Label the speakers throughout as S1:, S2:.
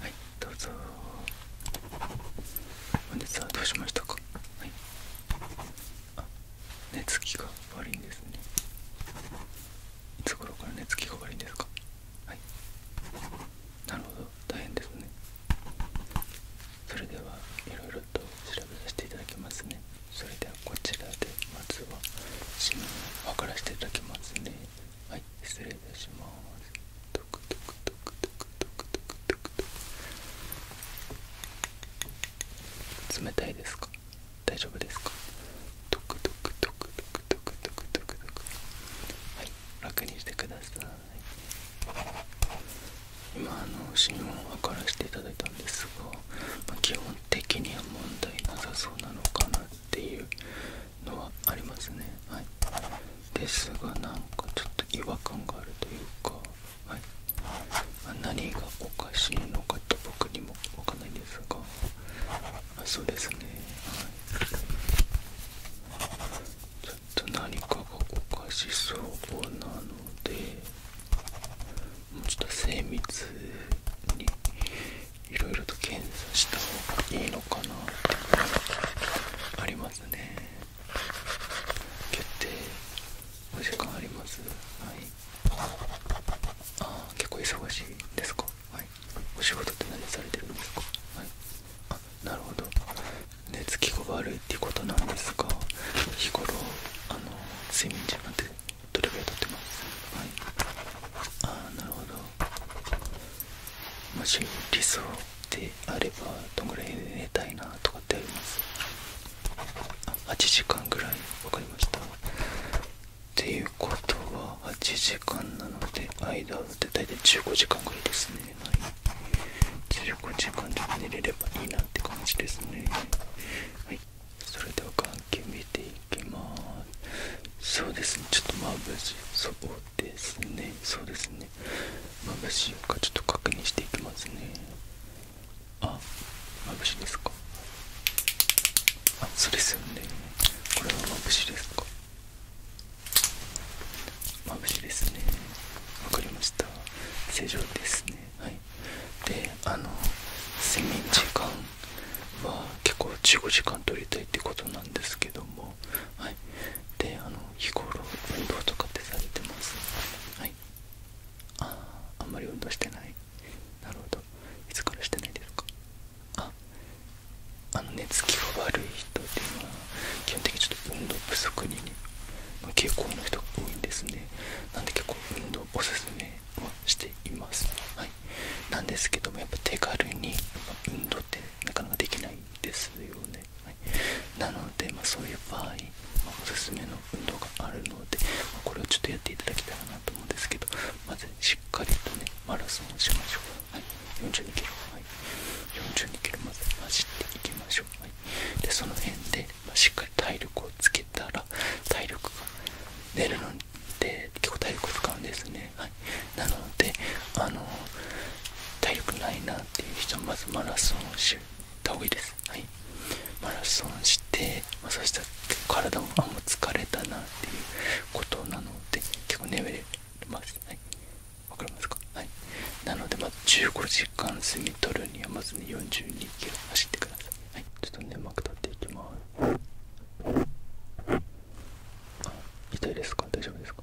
S1: はいどうぞ本日はどうしましたかはいあ寝つきが悪いんですねいつ頃から寝つきが悪いんですかはいなるほど大変ですねそれではいろいろと調べさせていただきますねそれではこちらでまずは指紋を分からせていただきますねはい失礼いたしますトクトクトクトクトクトクトクトク冷たいですか大丈夫ですかトクトクトクトク楽にしてください今あの心音を測らせていただいたんですが、ま基本的には問題なさそうなのかなっていうのはありますねはいですがなんかちょっと違和感があるというか何がおかしいのかと僕にもわかんないんですがあそうですねちょっと何かがおかしそうなのでもうちょっと精密にいろいろと検査した方がいいのかなってありますね決定お時間ありますはいああ結構忙しいですかはいお仕事って何されてるんですかはいあなるほど寝つきが悪いってことなんですが日頃あの睡眠時間ってどれぐらいとってますはいああ、なるほどもし理想であればどんぐらい寝たいなとかってありますあ8時間ぐらい分かりましたっていうことは8時間なので間を打って大体15時間ぐらいですね、はい、15時間で寝れればいいなって感じですねはいそれでは眼球見ていきますそうですねちょっと眩しそうですねそうですね眩しいかちょっと確認していきますねあ眩しいですかあそうですよねこれは眩しいですか眩しいですねわかりました正常ですねはいであの睡眠時間は結構15時間取りたいってことなんですけどもはいであの日頃運動とかってされてますはいああんまり運動してないなるほどいつからしてないですかああの寝つきが悪い人っていうのは基本的にちょっと運動不足に、ま傾向の人が多いんですねなんで結構運動おすすめをしています、はい、なんですけどもやっぱ手軽に運動ってなかなかできないんですよね、はい、なので、まあ、そういう場合、まおすすめの運動があるので、まこれをちょっとやっていただきたいなと思うんですけどまずしっかりとねマラソンをしましょう、はい、42キロ、はい、42キロまで走っていきましょう、はい、でその辺で、ましっかり体力をつけたら体力が出るので結構体力を使うんですね、はい、なのであの体力ないなっていう人はまずマラソンをした方がいいです、はい、マラソンして、まそしたら体もあもう疲れたなっていうことなので結構眠れますはいわかりますかはいなのでまあ15時間過ぎとるにはまずね4 2キロ走ってくださいはいちょっとねく立っていきますあ痛いですか大丈夫ですか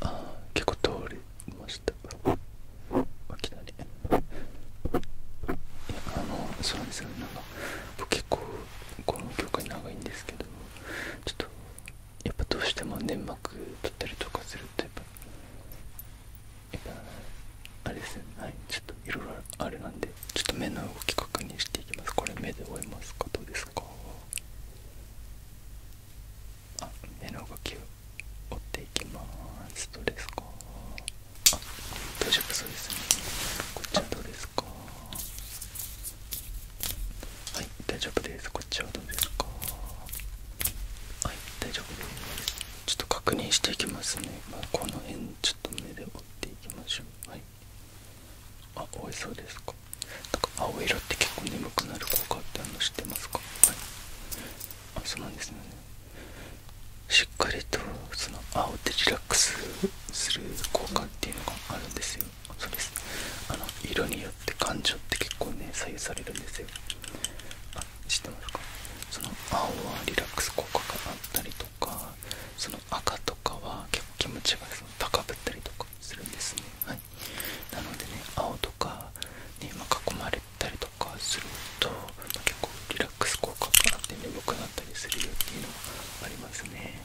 S1: あ結構通りましたあ来たねいやあのそうなんですよねな結構この曲長いんですけどちょっとやっぱどうしても粘膜取ったりとかするとやっぱやっぱあれですねはいちょっといろいろあれなんでちょっと目の動き確認していきますこれ目で追えますかどうですかあ目の動きを追っていきますどうですかあ大丈夫そうですねこっちはどうですかはい大丈夫ですこっちはどうですかはい大丈夫ですちょっと確認していきますね、まこの辺ちょっと目で追っていきましょうはいあおいそうですかなんか青色って結構眠くなる効果ってあの知ってますかはいあそうなんですよねしっかりとその青でリラックスする効果っていうのがあるんですよそうですあの色によって感情って結構ね左右されるんですよあ知ってますかその青はリラックス効果があったりとかその赤とかは結構気持ちがその高ぶったりとかするんですねはいなのでね青とかに、ま囲まれたりとかすると、結構リララックス効果があって眠くなったりするよっていうのもありますね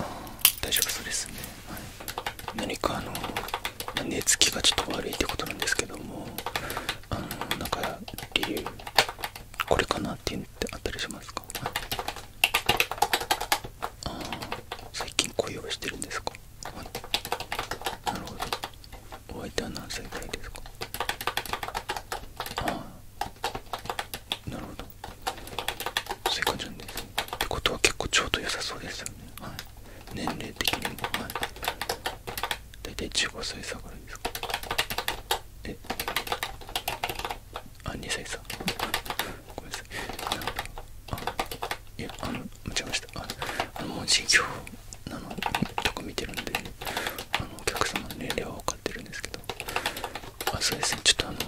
S1: あ大丈夫そうですね、はい、何かあの寝つきがちょっと悪いってことなんですけどもあのなんか理由これかなっていうのってあったりしますか、あ最近恋をしてるんですかはいなるほどお相手は何歳ぐらいですかああなるほどそういう感じなんですね。ってことは結構ちょうど良さそうですよねはい年齢的にもはい大体15歳差ぐらいですかえあ2歳さごめんなさいいやあの間違えましたああのもう授なのとか見てるんであのお客様の年齢は分かってるんですけどあそうですねちょっとあの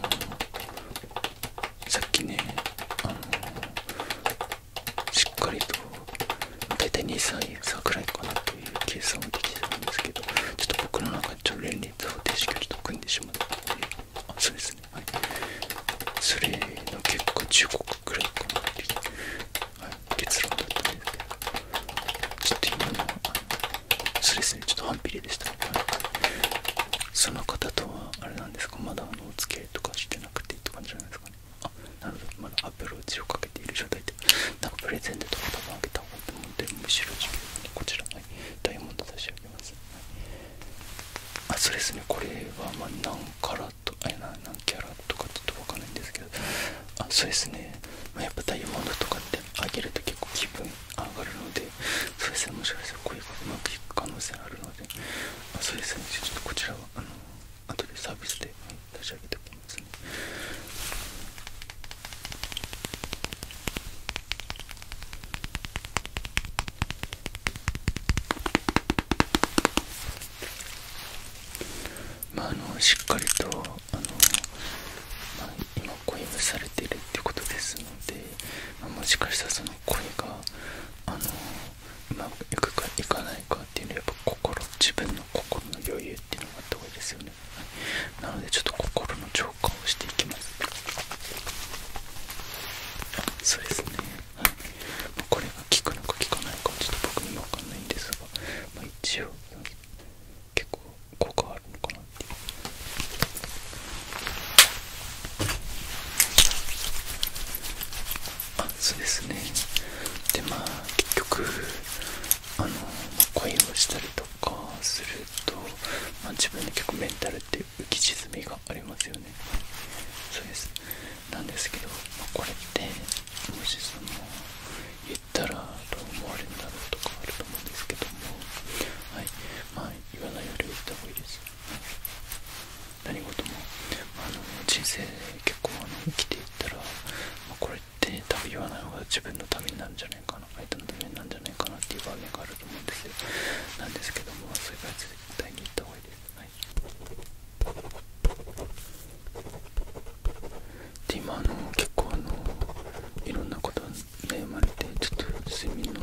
S1: さっきねあのしっかりと大体2歳差くらいかなという計算をできてたんですけどちょっと僕の中で連立方程式をちょっと組んでしまってあそうですね。はい、それの結果中国くらいかなってはい、結論だったんですけどちょっと今のはそうですねちょっと反ピレでしたはい、その方とはあれなんですかまだあのお付き合いとかしてなくてって感じじゃないですかねあなるほどまだアプローチをかけている状態でなんかプレゼントとか多分あげた方がいいと思うんでむしろこちら、はい、ダイヤモンド差し上げます、はいあそうですねこれはま何カラットえな何キャラとかちょっとわかんないんですけどあそうですね、まやっぱダイヤモンドとかってあげると結構気分上がるのでそうですねもしかしたらこういうまくいく可能性あるのであそうですねちょっとこちらはあの後でサービスで差し上げておきますねまあ、あのしっかりとあの、ま今恋がされているってことですので、まもしかしたらその恋があのうまくいくかいかないかっていうのはやっぱ心自分の心の余裕っていうのがあった方がいいですよねなのでちょっと心の調消化そうですね、はい、これが効くのか効かないかちょっと僕にも分かんないんですが、まあ、一応結構効果あるのかなっていうあそうですねでまあ結局あの恋をしたりとかすると、まあ、自分の結構メンタルって浮き沈みがありますよねそうですなんですけど、まこれってもしその言ったらどう思われるんだろうとかあると思うんですけどもはいまあ言わないよりは言った方がいいです、何事も、あ、の人生結構あの生きていったら、まこれって多分言わない方が自分のためになるんじゃないかかなんじゃないかなっていう場面があると思うんですけどもそれか絶対に行った方がいいですはいで今あの結構あのいろんなこと悩まれてちょっと睡眠の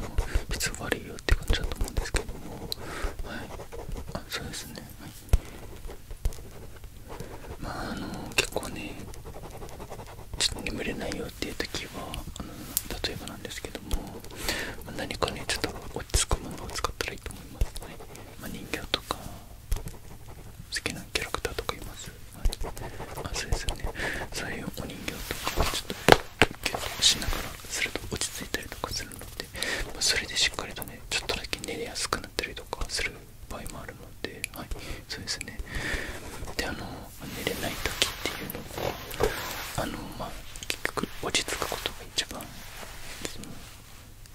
S1: 質悪いよって感じだと思うんですけどもはいあそうですねはいまああの結構ねちょっと眠れないよっていはあの例えばなんですけども何かねちょっと落ち着くものを使ったらいいと思いますね、ま人形とか好きなキャラクターとかいます、はい、あそうですねそういうお人形とかをちょっとキュッとしながらすると落ち着いたりとかするので、まそれでしっかりとねちょっとだけ寝れやすくなったりとかする場合もあるのではいそうですねであの寝れない時っていうのもあのま結局落ち着くことが一番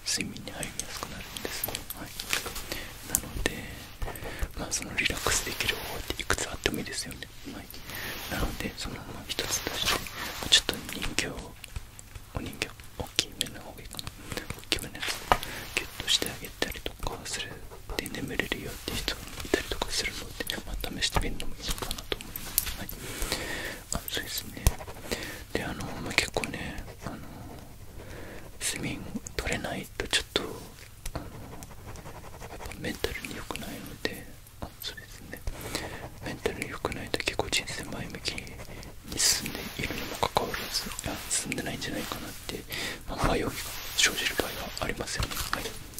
S1: 睡眠に入りやすくなるんですね、はい、なのでまあそのリラックスできる方法っていくつあってもいいですよね、はい、なのでそのまま一つとしてちょっと人形お人形大きい目の方がいいかな大きめのやつギュッとしてあげたりとかするで眠れるよって人がいたりとかするので、ま試してみるのもいいのかなと思います。はい、そうですねであの、ま結構ねあの睡眠取れないとちょっとあのやっぱメンタルに良くないのでメンタルに良くないと結構人生前向きに進んでいるにもかかわらず進んでないんじゃないかなって、まあ、迷いが生じる場合はありません。はい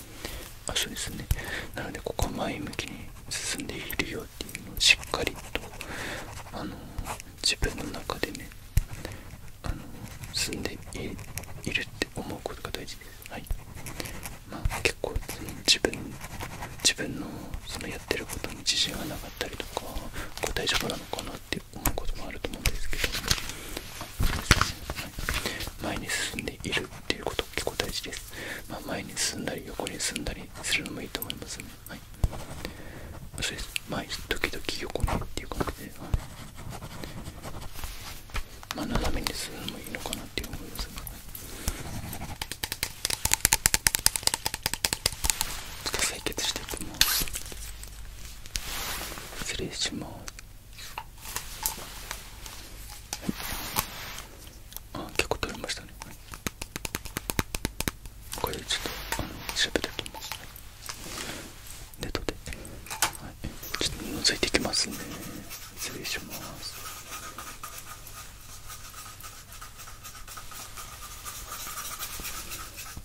S1: そうですねなのでここは前向きに進んでいるよっていうのをしっかりとあの自分の中でねあの進んでいるって思うことが大事です、はいま結構自分自分のそのやってることに自信がなかったりとかこう大丈夫なのかなって思うこともあると思うんですけど、前に進んでいるっていうこと結構大事です、まあ、前に進んだり横に進んだりするのもいいと思いますねはいそうです前時々横にっていう感じで、まあ、斜めに進むのもいいのかなって思いますねちょっと採血していきます失礼しますあ結構取れましたねこれちょっとあの調べておきまネットで、はい、ちょっと覗いてきますね失礼します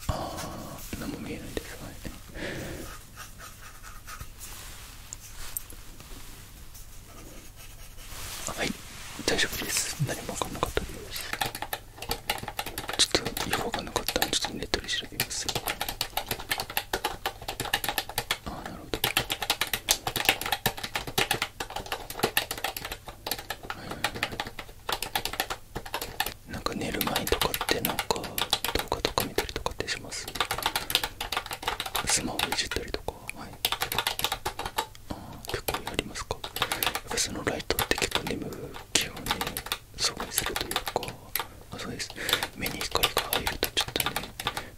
S1: ああ何も見えないですはいはい大丈夫です何もかんちょっとよく分なかったのでちょっとネットで調べますあなるほどはいなんか寝る前とかってなんか動画とか見たりとかってスマホいじったりとかはあ結構やりますかそのライトって結構眠気をね阻害するというかそうです目に光が入るとちょっとね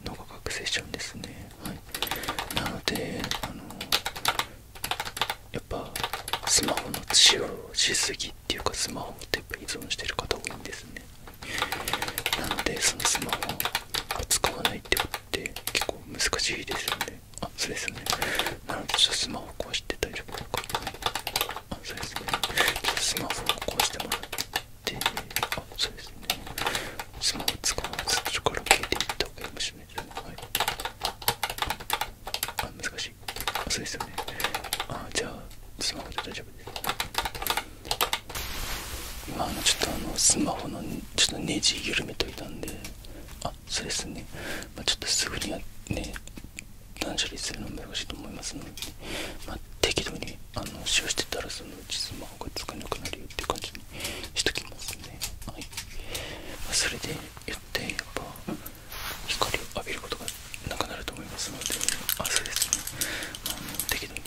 S1: 脳が覚醒しちゃうんですねはいなのであのやっぱスマホの使用しすぎっていうかスマホって依存してる方多いんですねなのでそのスマホを使わないってことって結構難しいですよねあそうですねなのでちょっとスマホ壊して大丈夫かあそうですねちょっとスマホを壊してもらってあそうですねスマホ使わずそこから消えていった方がいいかもしれないですねはいあ難しいあそうですよねあじゃあスマホで大丈夫今のちょっとあのスマホのちょっとネジ緩めといたんであそうですね、まちょっとすぐにね断捨離するのも難しいと思いますので、ま適度にあの使用してたらそのうちスマホがつかなくなるよって感じにしときますねはい、まそれで言ってやっぱ光を浴びることがなくなると思いますので汗ですね、まあ、あの適度に、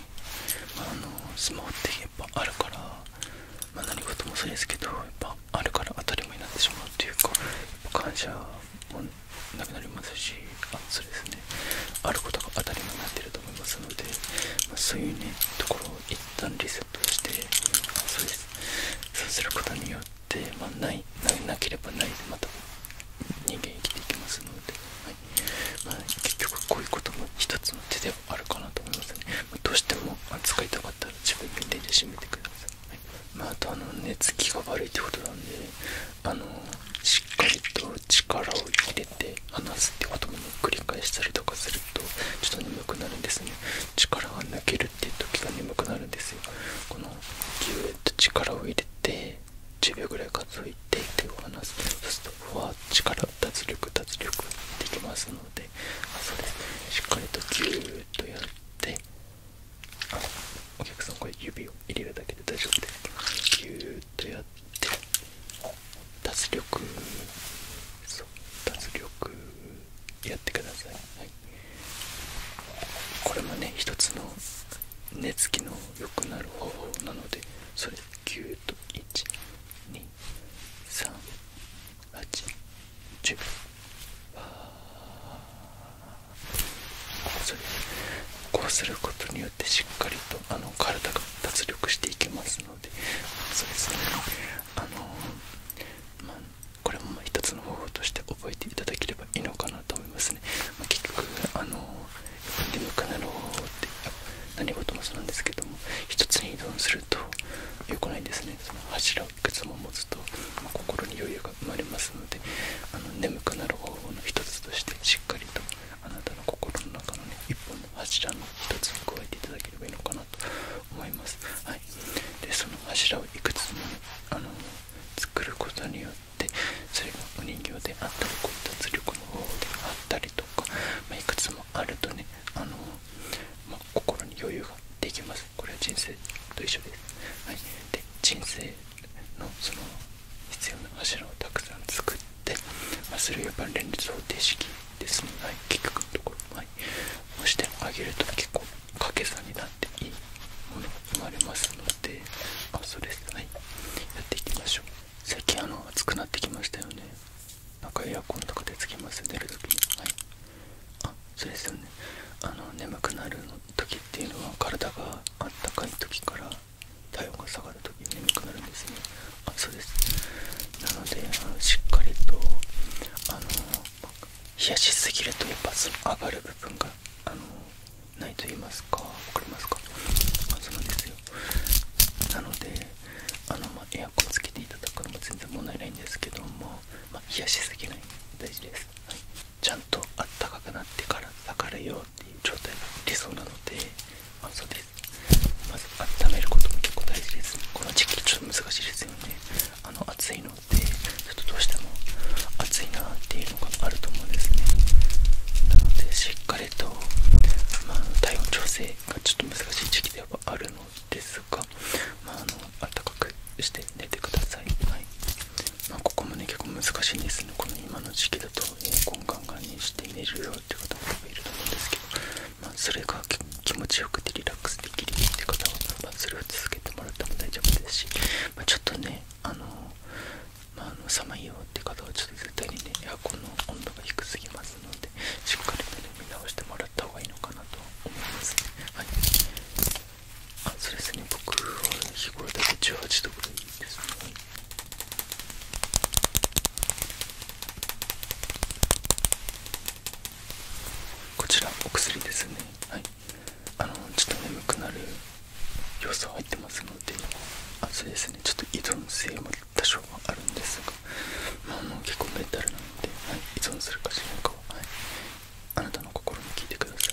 S1: まあ、のスマホってやっぱあるから、ま何事もそうですけどやっぱあるから当たり前になってしまうというか感謝もなくなりますしあそうですねあることが当たり前になってると思いますので、まそういうねところを一旦リセットしてあそうですそうすることによって、まないなければないでまた人間生きていきますので、はいま結局こういうことも一つの手ではあるかなと思いますね、まどうしても扱いたかったら自分で入れ締めてください、はいまあ、あとあの寝つきが悪いってことなんであのしっかりと力を入れて離すってことも、繰り返したりとかするとちょっと眠くなるんですね力が抜けるっていう時が眠くなるんですよこのギューッと力を入れて10秒ぐらい数えて手を離すそうするとふわ力脱力脱力できますのであそうですしっかりとギューッとやってお客さんこれ指を入れるだけで大丈夫ですギューッとやって脱力そう脱力やってください、はい、これもね一つの寝つきの良くなる方法なのでそれ9と12380それこうすることによってしっかりとあの体が脱力していけますのでそうですねあの、まあ、これも一つの方法として覚えていただければいいのかなと思いますね、ま結局あの眠くなる方法って何事もそうなんですけども一つに依存すると良くないですねその柱をいくつも持つと、ま心に余裕が生まれますのであの眠くなる方法の一つとしてしっかりとあなたの心の中のね一本の柱の一つを加えていただければいいのかなと思いますはいでその柱をいくつも、ね、あの作ることによってっそれがお人形であったりこった圧力の方法であったりとか、まいくつもあるとねあの、ま心に余裕ができますこれは人生と一緒です、はい、で人生のその必要な柱をたくさん作って、まあ、それをやっぱ連立方程式ですね、はい、結局のところ、はい、押してあげると結構掛け算になっていいものが生まれますので。であそうですはいやっていきましょう最近あの暑くなってきましたよねなんかエアコンとかでつけます出るとにはいあそうですよねあの眠くなる時っていうのは体があったかい時から体温が下がる時に眠くなるんですねあそですなのであのしっかりとあの冷やしすぎるとやっぱその上がる部分があのないと言いますかわかりますかあそうなんですよなのであの、まエアコンつけていただくのも全然問題ないんですけども、ま冷やしすぎない大事です、はい、ちゃんとあったかくなってから下がれようっていう状態がそうなので、まそうですまず温めることも結構大事ですこの時期ちょっと難しいですよねあの暑いのでどうしても暑いなっていうのがあると思うんですねなのでしっかりと、ま体温調整がちょっと難しい時期ではあるのですが、まあ、あの暖かくして寝てください、はいまあ、ここもね結構難しいんですねこの今の時期だとエアコンガンガンにして寝るよっていう方もいると思うんですけど、まあ、それが気持ちよくてリラックスできるって方は、まそれを続けてもらっても大丈夫ですし、まちょっとねあのまあ、あの寒いよって方はちょっと絶対にねエアコンの温度が低すぎますのでしっかり見直してもらった方がいいのかなと思います、はい、あそうですね僕は日頃だけたい18度ぐらいですねこちらお薬ですねはいあのちょっと眠くなる要素入ってますのであそですねちょっと依存性も多少はあるんですが、まあ、も結構メタルなので、はい、依存するかしらかは、あなたの心に聞いてくださ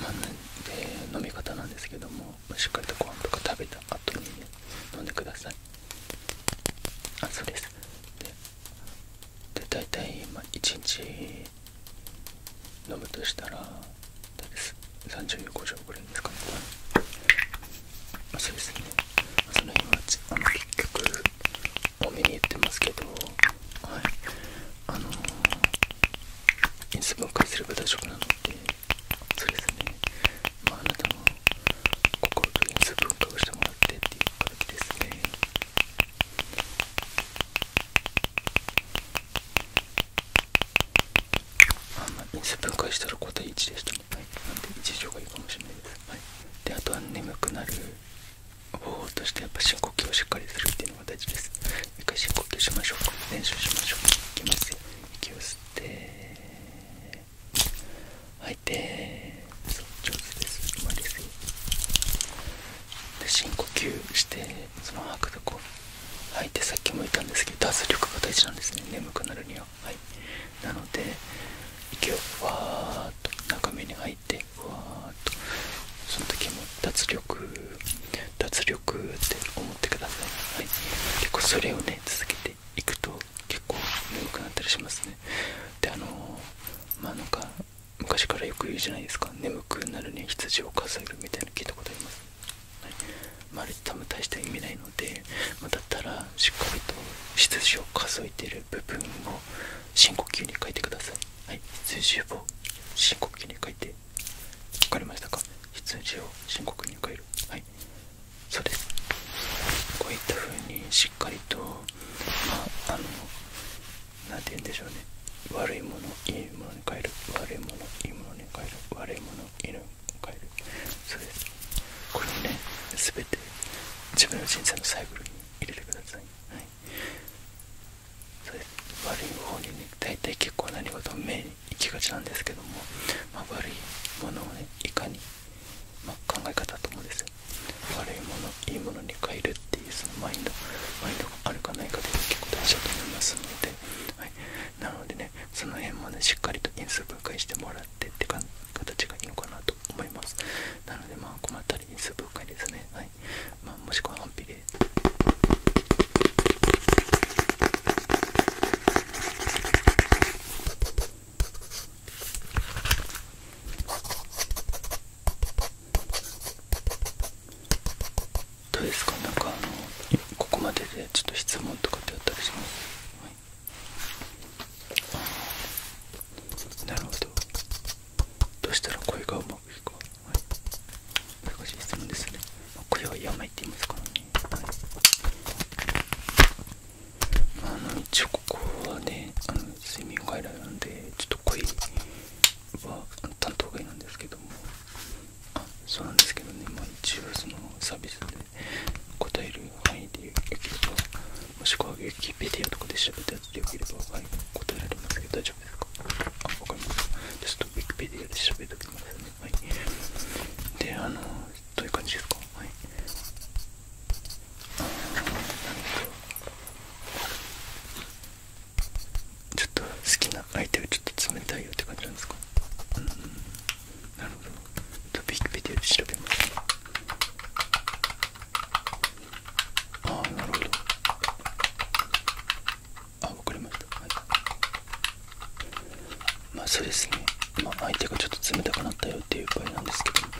S1: い、はい、で飲み方なんですけどもしっかりとご飯とか食べた後に、飲んでくださいあそですでで大体、まあ、1日飲むとしたら30、50ぐらいですかね、まあ、そうですね、まその辺はあの結局お目に言ってますけどはいあの因数分解すれば大丈夫なのでそうですねまああなたも心と因数分解をしてもらってっていう感じですねあんまり分解したら答え1でしたね、はい、なんで1以上がいいかもしれないです、はい、であとは眠くなる方法としてやっぱ深呼吸をしっかりするっていうのが大事です一回深呼吸しましょうか。練習しましょういきますよ息を吸って吐いてそう上手ですうまいですよ深呼吸してその吐くとこ吐いてさっきも言ったんですけど脱力が大事なんですね眠くなるにははいなので息をわーっと中目に入ってわーっとその時も脱力脱力って思ってください、はい、結構それをね続けていくと結構眠くなったりしますねであのまあなか昔からよく言うじゃないですか眠くなるに羊を数えるみたいな聞いたことあります、はいまあ、れ多分大した意味ないので、まだったらしっかりと羊を数えてる部分を深呼吸に書いてください、はい、羊を深呼吸に書いて分かりましたか羊を深呼吸に変えるはいそうですこういった風にしっかりとまああの何て言うんでしょうね悪いものいいものに変える悪いものいいものに変える悪いものいいのに変えるそれですこれをね全て自分の人生のサイクルに入れてください、はい、それ悪い方にね大体結構何事も目に行きがちなんですけども、ま悪いものをねいかに、ま考え方だと思うんですよ悪いものいいものに変えるっていうそのマインドマインドがあるかないかとで結構大事だと思いますので、はい、なのでねその辺もねしっかりと因数分解してもらってってか形がいいのかなと思いますなのでまあ困ったら因数分解ですねはい、まあ、もしくは反比例どうですかなんかあのここまででちょっと質問とかってあったりします、なるほどどうしたら声がうまくいくか、難しい質問ですね声は病って言いますからね、あの一応ここはねあの睡眠外来なんでちょっと声は担当外なんですけどもあそうなんですけどね、まあ、一応そのサービスで答える範囲でよければもしくはウィキペディアとかで調べてやつでよければ、はい、答えられますけど大丈夫ですかあ、わかりました。ちょっとウィキペディアで調べておきますね。はい。で、あの、どういう感じですかはい。あなるほちょっと好きな相手がちょっと冷たいよって感じなんですかなるほどちょっとビキビキで調べました。ああなるほどあわかりましたはいまあそうですねまあ相手がちょっと冷たくなったよっていう場合なんですけど、ま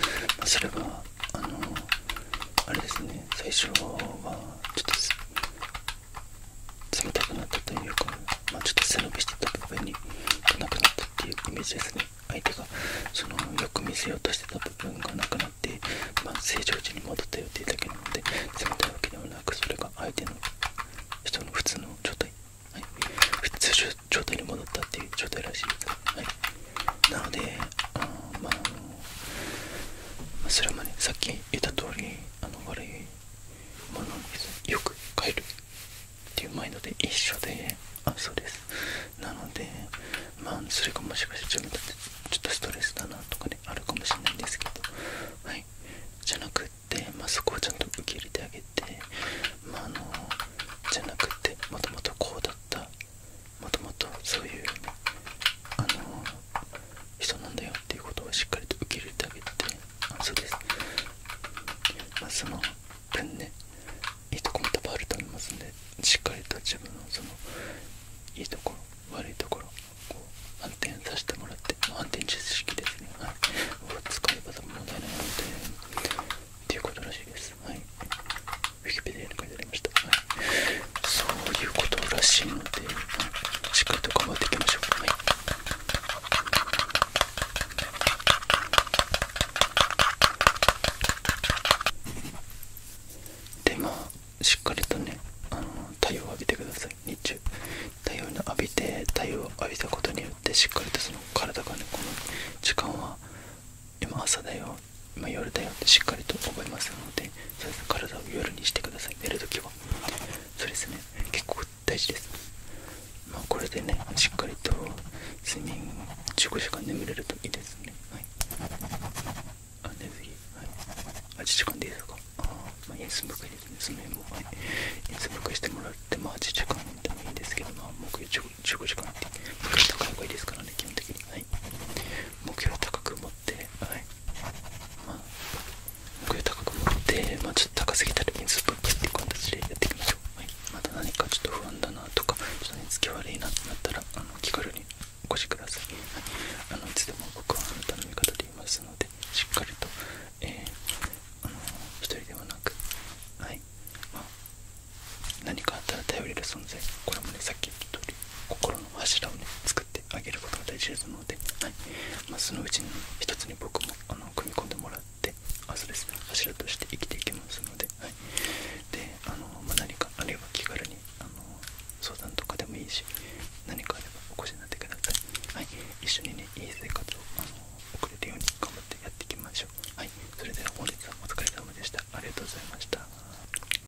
S1: あ、それはあのあれですね最初はちょっと冷たくなったというか、まちょっと背伸びしてた部分がなくなったっていうイメージですね相手がそのよく見せようとしてた部分がなくなって、まあ、正常値に戻ったいうだけなので冷たいわけではなくそれが相手の人の普通の状態、はい、普通状態に戻ったっていう状態らしいです、はい、なのでまあそれもねさっき言った通りあの悪いものによく帰るっていうマインドで一緒であそうですなのでまあそれがもしかして自分だってちょっとストレスだなとかねあるかもしれないんですけどはいじゃなくって、まあ、そこをちゃんと受け入れてあげてあのじゃなくてもともとこうだったもともとそういうあの人なんだよっていうことをしっかりと受け入れてあげてあそうですまその分ねいいとこも多分あると思いますんでしっかりと自分のそのいいところ悪いところこう反転させてもらって反転知識ですねはい使えば問題ないみたいなっていうことらしいですはいそういうことらしいのでしっかりと頑張っていきましょう、はでましっかりとねあの太陽を浴びてください日中太陽を浴びて太陽を浴びたことによってしっかりとその体がねこの時間は今朝だよ今夜だよってしっかりと覚えますのでそうです、ね、体を夜にしてください寝るときはそうですね結構大事です、まあ、これでねしっかりと睡眠15時間眠れるといいですねはいあ寝ずにはい8時間でいいですかあまあ休むくらいですねその辺もはい休むくらいしてもらってまあ8時間でもいいんですけどまあ目標15時間って目標高い方がいいですからね基本的にはい目標高く持っって、はいまあ、奥高く持って、まあ、ちょっと高すぎたらイ水ぶっかけっていう形でやっていきましょう、はい、また何かちょっと不安だなとかちょっと寝つき悪いなってなったらあの気軽にお越しください、はい、あのいつでも僕はあなたの味方でいますのでしっかりと、えー、あの一人ではなく、はいまあ、何かあったら頼れる存在これもねさっき言った通り心の柱をね作てあげることが大事ですので、はいまそのうちの一つに僕もあの組み込んでもらってあそうです、柱として生きていきますので,、はいであのま何かあるいは気軽にあの相談とかでもいいし何かあればお越しになってください、はい、一緒にねいい生活をあの送れるように頑張ってやっていきましょう、はい、それでは本日はお疲れ様でしたありがとうございました